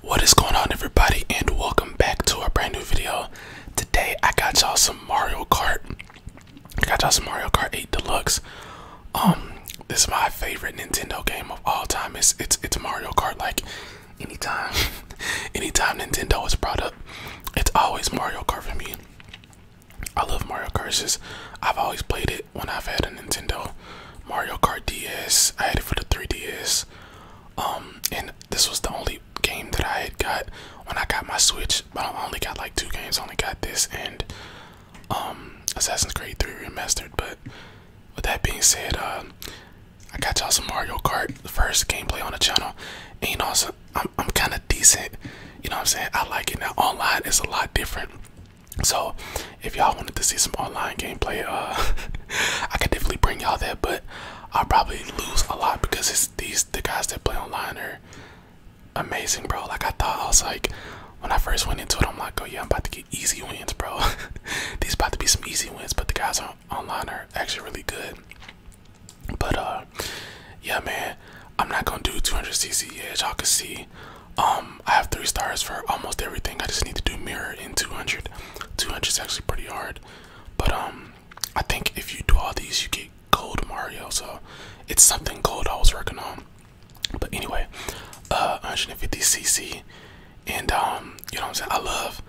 What is going on everybody and welcome back to our brand new video. Today I got y'all some Mario Kart. I got y'all some Mario Kart 8 Deluxe. Um this is my favorite Nintendo game of all time. It's it's it's Mario Kart like anytime anytime Nintendo is brought up, it's always Mario Kart for me. I love Mario Kurses. I've always played it when I've had a Nintendo. Mario Kart DS. I had it for the 3DS. Um, and this was the only game that I had got when I got my Switch, but I only got like two games. I only got this and um, Assassin's Creed 3 Remastered. But with that being said, uh, I got y'all some Mario Kart, the first gameplay on the channel. And also. I'm, I'm kind of decent. You know what I'm saying? I like it now. Online is a lot different. So if y'all wanted to see some online gameplay, uh, I could definitely bring y'all that, but I'll probably lose a lot because it's these the guys that play online are amazing, bro. Like I thought, I was like, when I first went into it, I'm like, oh yeah, I'm about to get easy wins, bro. these about to be some easy wins, but the guys on online are actually really good. But uh, yeah, man, I'm not gonna do 200cc. y'all can see. Um, um, I have three stars for almost everything. I just need to do mirror in 200. 200 is actually pretty hard, but um, I think if you do all these, you get gold Mario. So it's something gold I was working on. But anyway, uh, 150 CC, and um, you know what I'm saying. I love,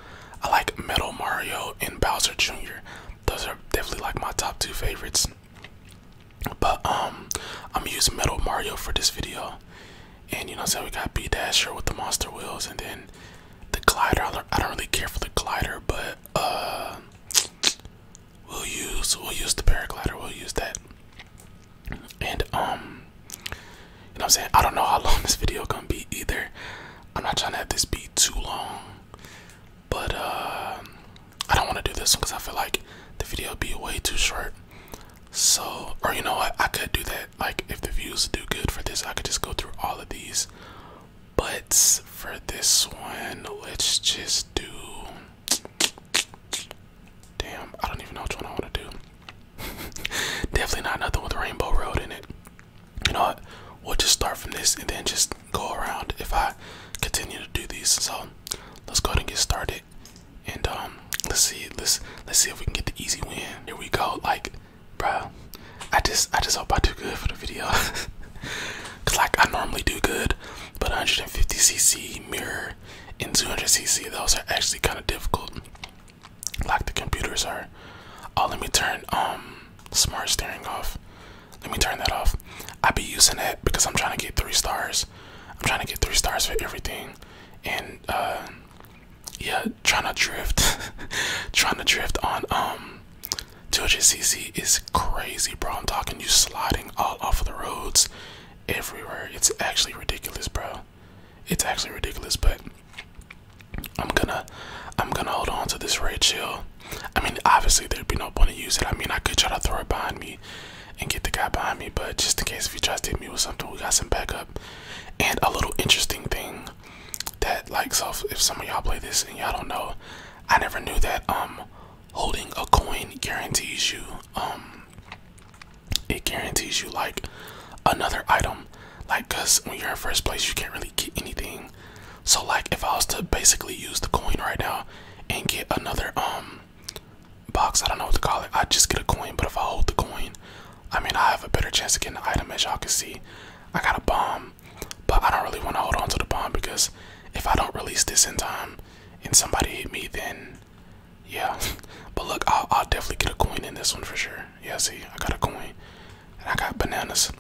I like Metal Mario and Bowser Jr. Those are definitely like my top two favorites. But um, I'm using Metal Mario for this video, and you know, so we got B Dasher with the monster wheels, and then the glider. I don't, really care for the glider, but uh, we'll use we'll use the paraglider. We'll use that. And um, you know, I'm saying I don't know how long this video gonna be either. I'm not trying to have this be too long, but uh, I don't want to do this one because I feel like the video will be way too short. So, or you know what, I could do that. Like, if the views do good for this, I could just go through all of these. But for this one, let's just do. Damn, I don't even know which one I want to do. Definitely not nothing with Rainbow Road in it. You know what? We'll just start from this and then just go around if I continue to do these. So let's go ahead and get started. And um, let's see, let's let's see if we can get the easy win. Here we go. Like, bro, I just I just hope I do good for the video. Cause like I normally do good, but 150cc mirror and 200cc those are actually kind of difficult. Like the computers are. Oh, let me turn um smart steering off. Let me turn that off. I be using it because I'm trying to get three stars. I'm trying to get three stars for everything, and uh, yeah, trying to drift, trying to drift on um 2 cc is crazy, bro. I'm talking you sliding all off of the roads everywhere. It's actually ridiculous, bro. It's actually ridiculous, but I'm gonna I'm gonna hold on to this red chill. I mean, obviously there'd be no point in using it. I mean, I could try to throw it behind me and get the guy behind me. But just in case if he tries to hit me with something, we got some backup. And a little interesting thing that, like, so if some of y'all play this and y'all don't know, I never knew that um holding a coin guarantees you um it guarantees you like another item. Like, cause when you're in first place, you can't really get anything. So like, if I was to basically use the coin right now and get another um box. I don't know what to call it. I just get a coin, but if I hold the coin, I mean I have a better chance of getting the item as y'all can see. I got a bomb, but I don't really want to hold on to the bomb because if I don't release this in time and somebody hit me, then yeah. but look, I'll, definitely get a coin in this one for sure. Yeah, see, I got a coin, and I got bananas.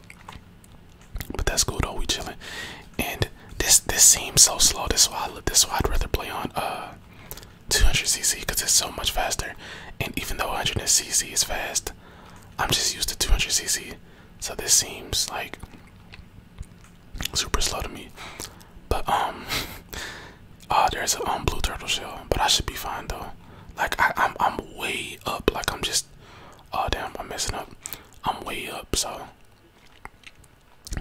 But that's cool though. We chilling, and this this seems so slow. This why I, this why I'd rather play on uh 200cc because it's so much faster. And even though 100cc is fast, I'm just used to 200cc. So this seems like super slow to me. But, um, uh, there's a um, blue turtle shell, but I should be fine though. Like, I, I'm, I'm way up. Like, I'm just, oh, damn, I'm messing up. I'm way up, so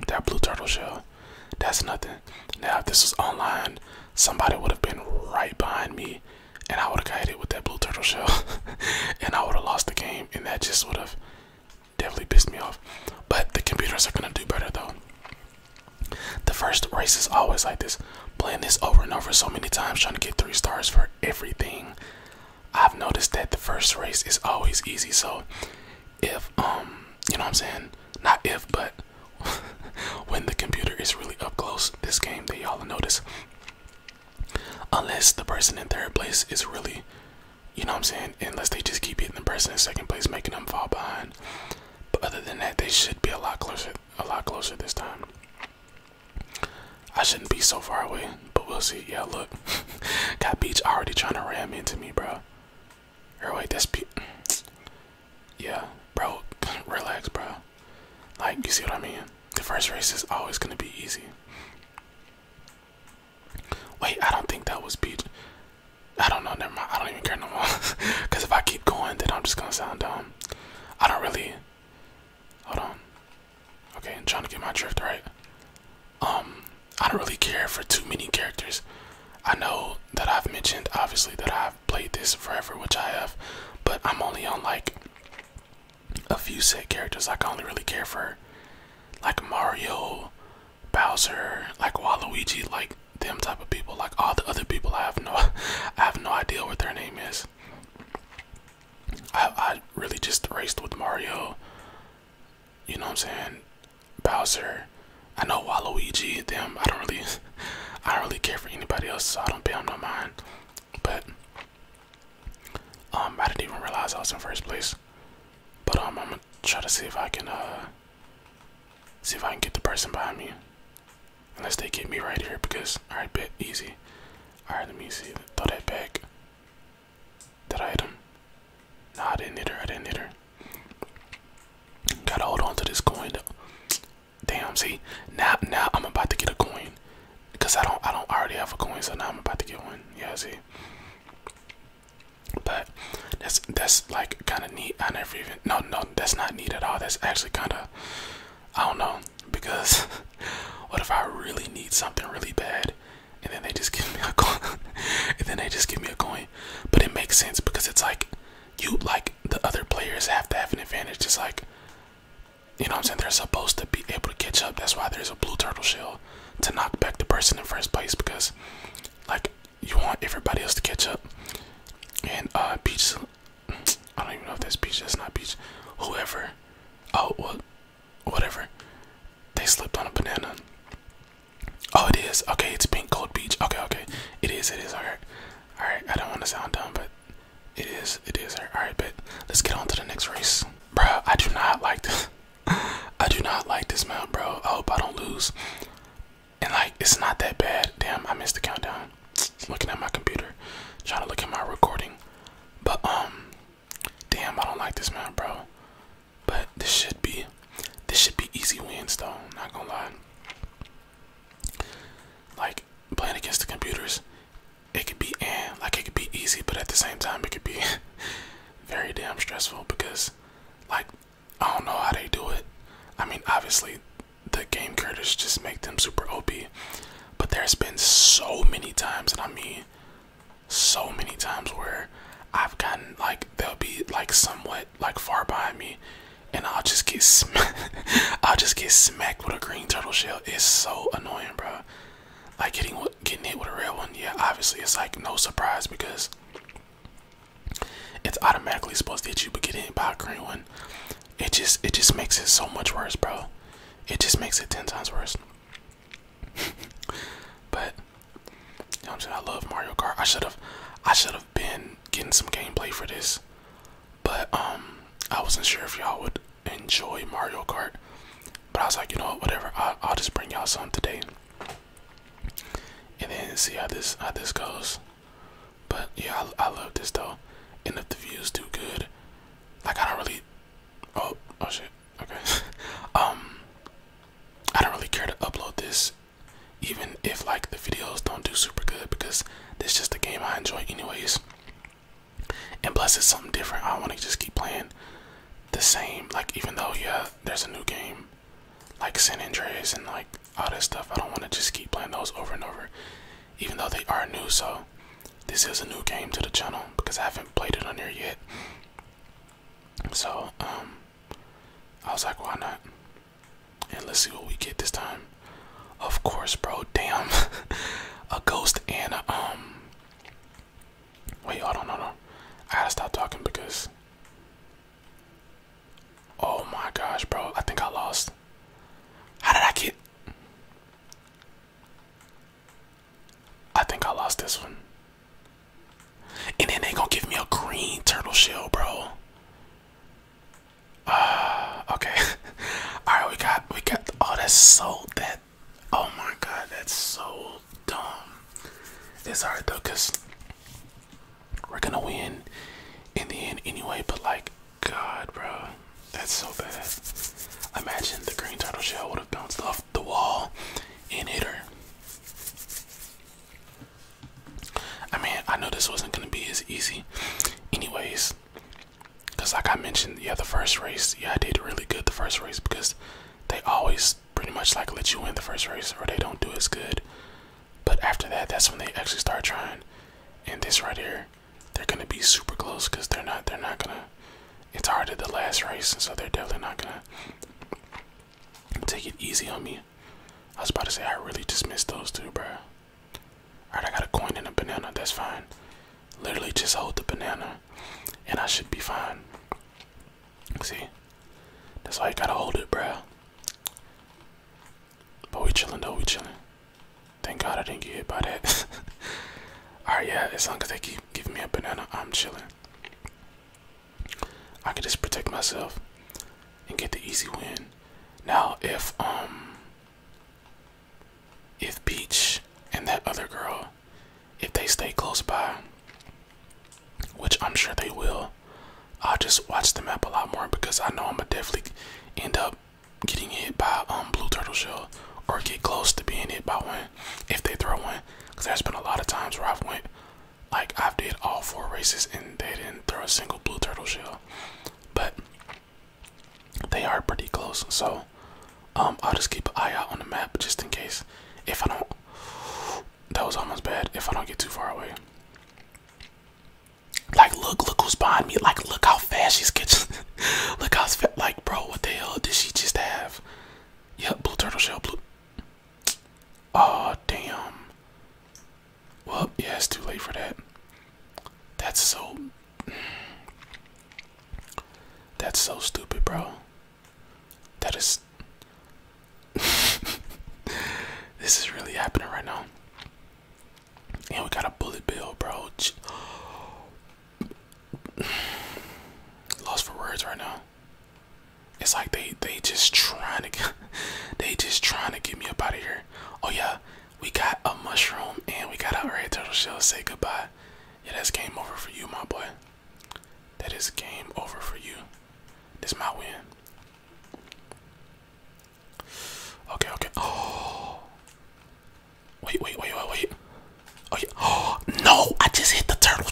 that blue turtle shell, that's nothing. Now, if this was online, somebody would have been right behind me and I would have got hit with that blue turtle shell and I would have lost the game and that just would have definitely pissed me off. But the computers are gonna do better though. The first race is always like this. Playing this over and over so many times, trying to get three stars for everything. I've noticed that the first race is always easy, so if um you know what I'm saying not if but when the computer is really up close this game that y'all notice unless the person in third place is really you know what I'm saying unless they just keep hitting the person in second place making them fall behind but other than that they should be a lot closer a lot closer this time I shouldn't be so far away but we'll see yeah look got beach already trying to ram into me bro or wait, this pe Yeah, bro, relax, bro. Like, you see what I mean? The first race is always gonna be easy. Wait, I don't think that was beat. I don't know, never mind. I don't even care no more. Because if I keep going, then I'm just gonna sound dumb. I don't really. Hold on. Okay, I'm trying to get my drift right. Um, I don't really care for too many characters. I know that I've mentioned obviously that I've played this forever, which I have, but I'm only on like a few set characters. Like I only really care for like Mario, Bowser, like Waluigi, like them type of people. Like all the other people, I have no, I have no idea what their name is. I I really just raced with Mario, you know what I'm saying? Bowser. I know Waluigi, them. I don't really, I don't really care for anybody else, so I don't pay them no mind. But um, I didn't even realize I was in first place. But um, I'm gonna try to see if I can uh, see if I can get the person behind me. Unless they get me right here, because all right, bet easy. All right, let me see. Throw that back. Did I hit him? Um, nah, I didn't hit her. I didn't hit her. Gotta hold on to this coin. Though. Damn, see, now now I'm about to get a coin, cause I don't I don't already have a coin, so now I'm about to get one. Yeah, see. But that's that's like kind of neat. I never even no no that's not neat at all. That's actually kind of I don't know because what if I really need something really bad and then they just give me a coin and then they just give me a coin but it makes sense because it's like you like the other players have to have an advantage just like you know i'm saying they're supposed to be able to catch up that's why there's a blue turtle shell to knock back the person in first place because like you want everybody else to catch up and uh peach i don't even know if that's Beach. that's not Beach. whoever oh what whatever. They slipped on a banana. Oh, it is. Okay, it's pink cold beach. Okay, okay. It is, it is. Alright. Alright, I don't want to sound dumb, but it is, it is. Alright, but let's get on to the next race. bro. I do not like this. I do not like this mount, bro. I hope I don't lose. And like, it's not that bad. Damn, I missed the countdown. Looking at my computer, trying to look at my recording. But um, Damn, I don't like this man, bro. But this should be, this should be easy wins though. Not gonna lie. Like playing against the computers, it could be and like it could be easy, but at the same time, it could be very damn stressful because, like, I don't know how they do it. I mean, obviously, the game creators just make them super OP, but there's been so many times, and I mean, so many times where I've gotten like they'll be like somewhat like far behind me, and I'll just get sm I'll just get smacked with a green turtle shell. It's so annoying, bro. Like getting getting hit with a red one. Yeah, obviously it's like no surprise because it's automatically supposed to hit you, but getting hit by a green one, it just it just makes it so much worse, bro. It just makes it ten times worse. but I'm saying? I love Mario Kart. I should have, I should have been getting some gameplay for this, but um, I wasn't sure if y'all would enjoy Mario Kart. But I was like, you know what, whatever. I'll, I'll just bring y'all some today, and then see how this how this goes. But yeah, I, I love this though, and if the views do good, like I don't really. Oh, oh shit. Okay. um, I don't really care to upload this, even if like the videos don't do super good because this is just a game I enjoy anyways. And plus, it's something different. I want to just keep playing the same. Like even though yeah, there's a new game, like San Andreas and like all this stuff. I don't want to just keep playing those over and over, even though they are new. So this is a new game to the channel because I haven't played it on here yet. So, um, I was like, why not? And let's see what we get this time. Of course, bro. Damn, a ghost and a um. Wait, hold on, hold on. I gotta stop talking because. Oh my gosh, bro! I think I lost. How did I get? I think I lost this one. And then they gonna give me a green turtle shell, bro. Uh, okay. Alright, we got we got oh that's so that oh my god, that's so dumb. It's hard though, cause we're gonna win in the end anyway, but like God, bro that's so bad. I Imagine the green turtle shell would have bounced off the wall and hit her. I mean, I know this wasn't gonna be as easy, anyways. Cause like I mentioned, yeah, the first race, yeah, I did really good the first race because they always pretty much like let you win the first race or they don't do as good. But after that, that's when they actually start trying. And this right here, they're gonna be super close because they're not they're not gonna it's hard at the last race so they're definitely not gonna take it easy on me i was about to say i really just missed those two bruh. all right i got a coin and a banana that's fine literally just hold the banana and i should be fine see that's why you gotta hold it bruh. but we chilling though we chilling Thank God I didn't get hit by that. Alright, yeah, as long as they keep giving me a banana, I'm chilling. I can just protect myself and get the easy win. Now, if, um, if Beach and that other girl, if they stay close by, which I'm sure they will, I'll just watch the map a lot more because I know I'm gonna definitely end up getting hit by um blue turtle shell or get close to being hit by one if they throw one. Cause there's been a lot of times where I've went like I've did all four races and they didn't throw a single blue turtle shell. But they are pretty close, so um I'll just keep an eye out on the map just in case. If I don't that was almost bad if I don't get too far away. Like look, look who's behind me. Like look how how fast she's catching. Look how fat, like, bro, what the hell did she just have? Yep, blue turtle shell, blue. Oh, damn. Well, yeah, it's too late for that. That's so. That's so stupid, bro. That is. this is really happening right now. And we got a bullet bill, bro. Lost for words right now. It's like they they just trying to they just trying to get me up out of here. Oh yeah, we got a mushroom and we got a red turtle shell. Say goodbye. It is game over for you, my boy. That is game over for you. This my win. Okay, okay. Oh. Wait, wait, wait, wait, wait. Oh, no! I just hit the turtle.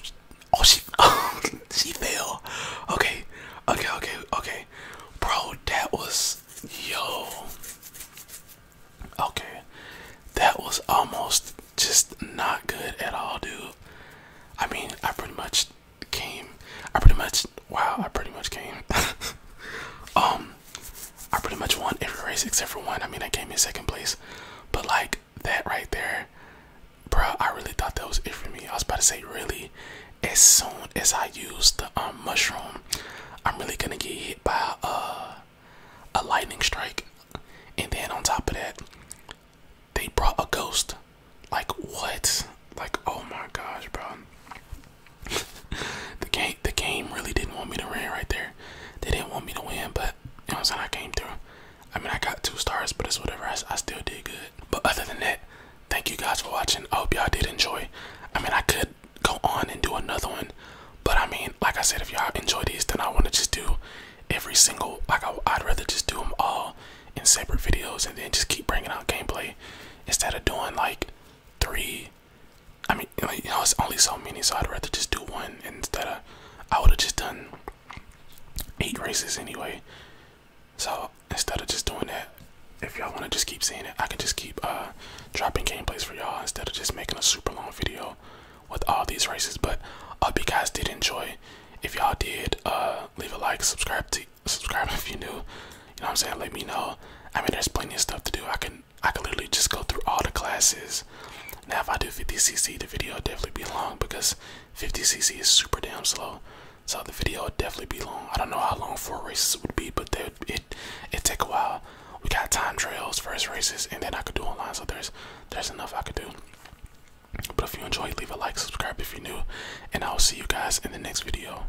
Oh, she, she fell. Okay, okay, okay, okay. Bro, that was yo. Okay, that was almost just not good at all, dude. I mean, I pretty much came. I pretty much wow. I pretty much came. um, I pretty much won every race except for one. I mean, I came in second place, but like that right there, bro. I really thought that was it for me. I was about to say really. As soon as I used the um, mushroom, I'm really gonna get hit by uh, a lightning strike, and then on top of that, they brought a ghost. Like what? Like oh my gosh, bro. the game, the game really didn't want me to win right there. They didn't want me to win, but you know what I'm saying. I came through. I mean, I got two stars, but it's whatever. I, still did good. But other than that, thank you guys for watching. I hope y'all did enjoy. I mean, I could go on and do another one, but I mean, like I said, if y'all enjoy these, then I want to just do every single. Like I'd rather just do them all in separate videos and then just keep bringing out gameplay instead of doing like three I mean, like, you know, it's only so many, so I'd rather just do one instead of. I would have just done eight races anyway. So instead of just doing that, if y'all want to just keep seeing it, I can just keep uh, dropping gameplays for y'all instead of just making a super long video with all these races. But I hope you guys did enjoy. If y'all did, uh, leave a like, subscribe to subscribe if you're new. You know what I'm saying? Let me know. I mean, there's plenty of stuff to do. I can I can literally just go through all the classes. Now, if I do 50cc, the video will definitely be long because 50cc is super damn slow. So the video will definitely be long. I don't know how long four races would be, but they, it it take a while. We got time trials, first races, and then I could do online. So there's there's enough I could do. But if you enjoyed, leave a like, subscribe if you're new, and I'll see you guys in the next video.